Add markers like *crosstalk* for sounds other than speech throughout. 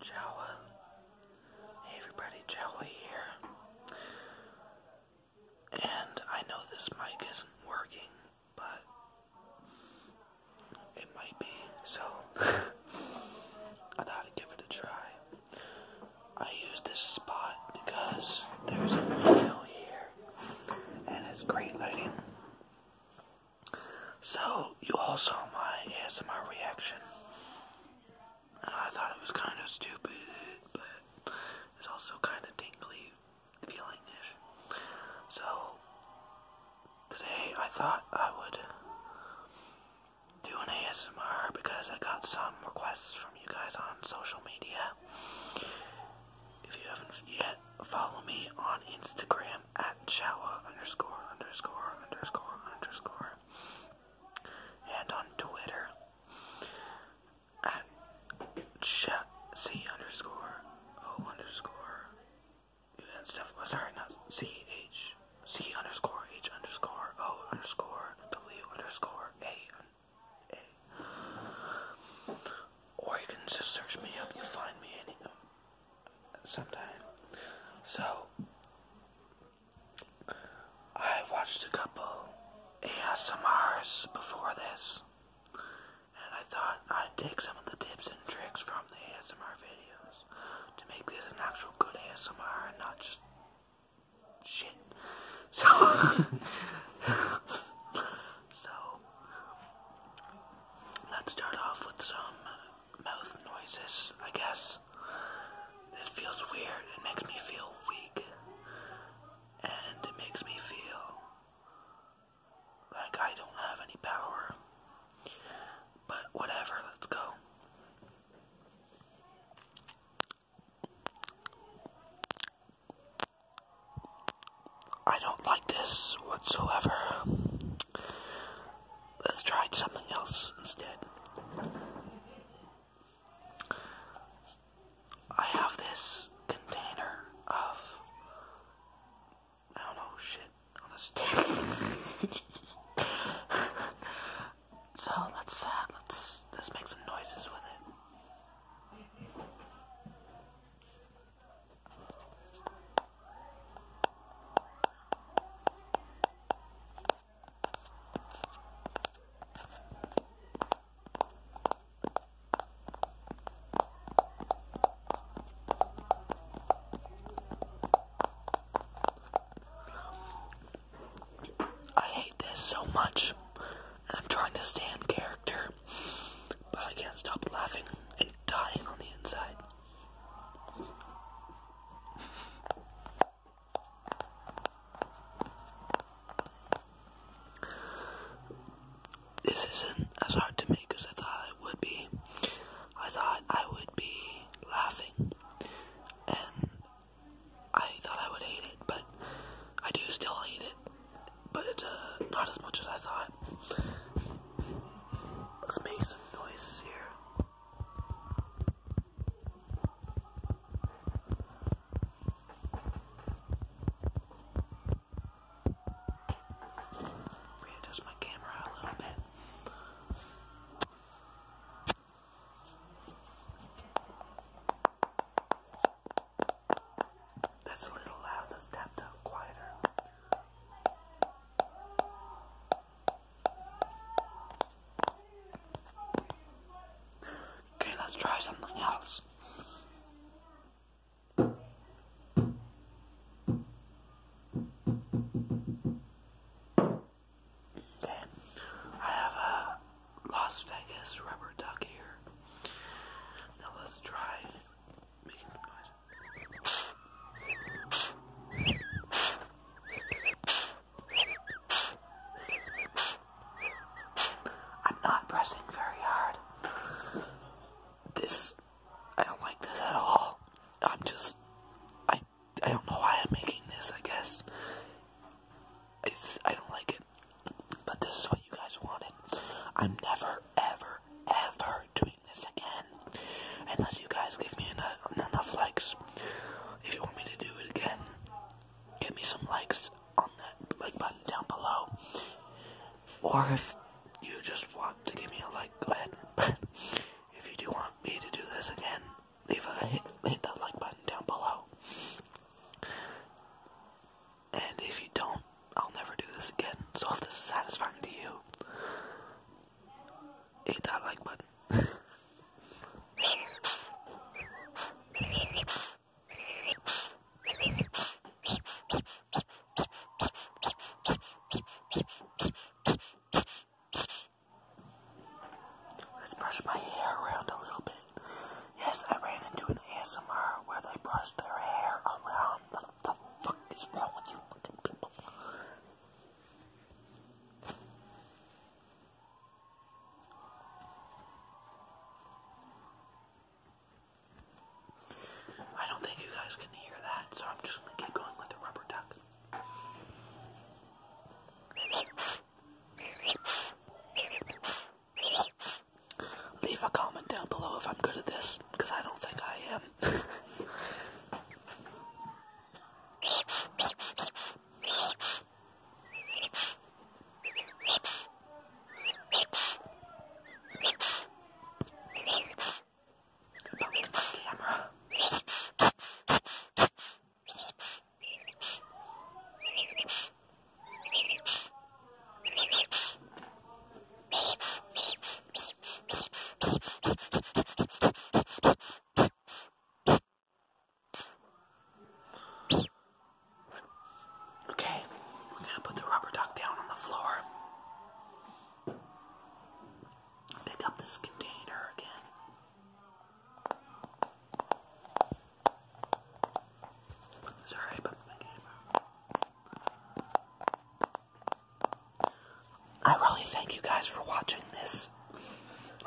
Jawa. Hey everybody, Jawa here. And I know this mic isn't working, but it might be, so *laughs* I thought I'd give it a try. I use this spot because there's a window here and it's great lighting. So, you all saw my ASMR reaction. And I thought it was kind of stupid, but it's also kind of tingly feeling So, today I thought I would do an ASMR because I got some requests from you guys on social media. If you haven't yet, follow me on Instagram at Chawa underscore underscore underscore underscore. And on Twitter at ch C underscore O underscore and stuff. Oh, sorry, not C H C underscore H underscore O underscore W underscore A. Or you can just search me up. You'll find me. Any, sometime. So I watched a couple ASMRs before this, and I thought I'd take some of the tips and tricks from the ASMR videos to make this an actual good ASMR and not just shit. *laughs* *laughs* So let's start off with some mouth noises, I guess. This feels weird. It makes me feel weak. And it makes me feel like I don't have any power. But whatever, let's go. I don't like this whatsoever. Let's try something else instead. I have this container of I don't know shit on a stick. *laughs* so let's let's let's make some noises with it. I hate this so much. I'm trying to stand character, but I can't stop laughing and dying on the inside. This isn't as hard to make as I thought it would be. I thought I would be laughing, and I thought I would hate it, but I do still hate it but uh, not as much as I thought. Let's make some noises here. Readjust my camera a little bit. That's a little loud. Let's tap down quieter. Okay, let's try something else. Okay, I have a Las Vegas rubber duck here. Now let's try I'm not pressing very hard. This, I don't like this at all. I'm just, I, I don't know why I'm making this. I guess it's, I don't like it. But this is what you guys wanted. I'm never, ever, ever doing this again. Unless you guys give me enough, enough likes. If you want me to do it again, give me some likes on that like button down below. Or if you just want to give me a like, go ahead. *laughs* But if you do want me to do this again, leave a hit, hit that like button down below. And if you don't, I'll never do this again. So if this is satisfying to you, hit that like button. Let's brush my hair around a little bit. Yes, I ran into an ASMR where they brush their hair around. What the fuck is wrong with you fucking people? I don't think you guys can hear that, so I'm just gonna keep going with the rubber duck. Leave a comment down below if I'm good at this, because I don't think I am. *laughs* Okay, we're gonna put the rubber duck down on the floor. Pick up this container again. Sorry about I really thank you guys for watching this.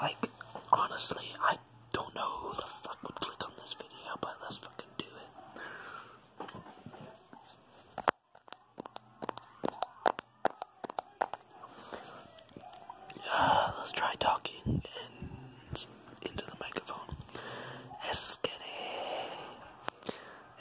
Like, honestly, I don't know who the fuck would click on this video, but let's fucking do it. Uh, let's try talking into the microphone. Eskere.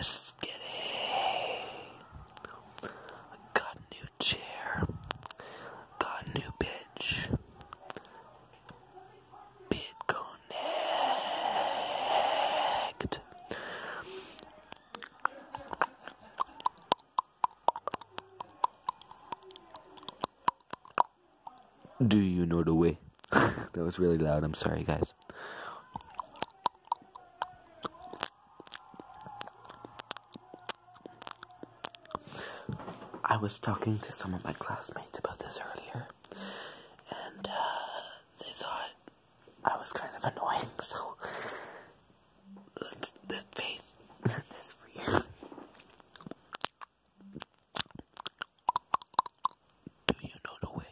Eskere. Got new chair. Got new bitch. Bit connect. Do you know the way? *laughs* that was really loud. I'm sorry, guys. I was talking to some of my classmates about this earlier, and uh, they thought I was kind of annoying, *laughs* so Let's, this face, *laughs* this for you. Do you know the way?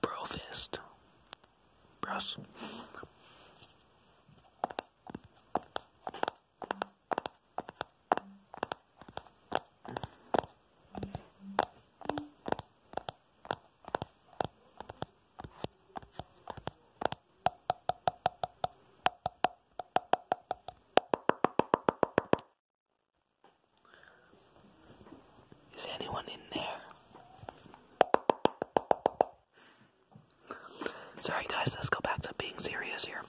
Bro Bros. Is anyone in there? Sorry, guys, let's go back to being serious here.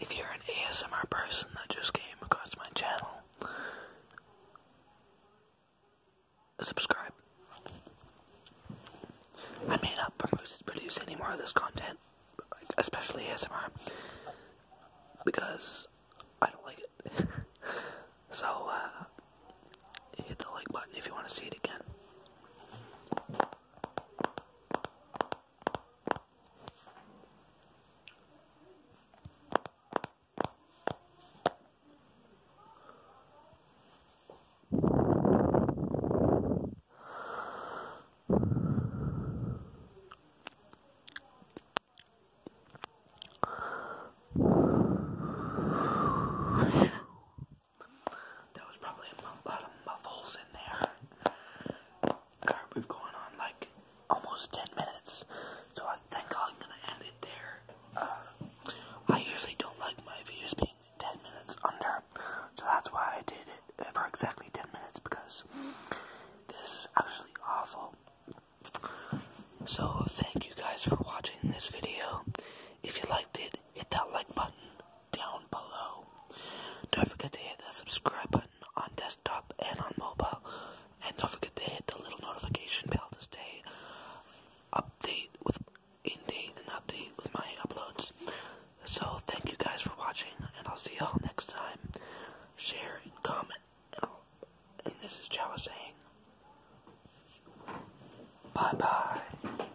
If you're an ASMR person that just came across my channel, subscribe. I may not produce any more of this content, especially ASMR, because I don't like it. *laughs* so, uh, hit the like button if you want to see it again. That was probably a lot of muffles in there we've gone on like almost 10 minutes, so I think I'm gonna end it there. Uh, I usually don't like my videos being 10 minutes under, so that's why I did it for exactly 10 minutes because this is actually awful. So, thank you guys for watching this video. If you liked it, hit that like button down below. Don't forget to hit that subscribe button on desktop and on mobile. And don't forget to hit the little notification bell to stay update with in date and update with my uploads. So thank you guys for watching and I'll see y'all next time. Share and comment. And this is Jawa saying Bye bye.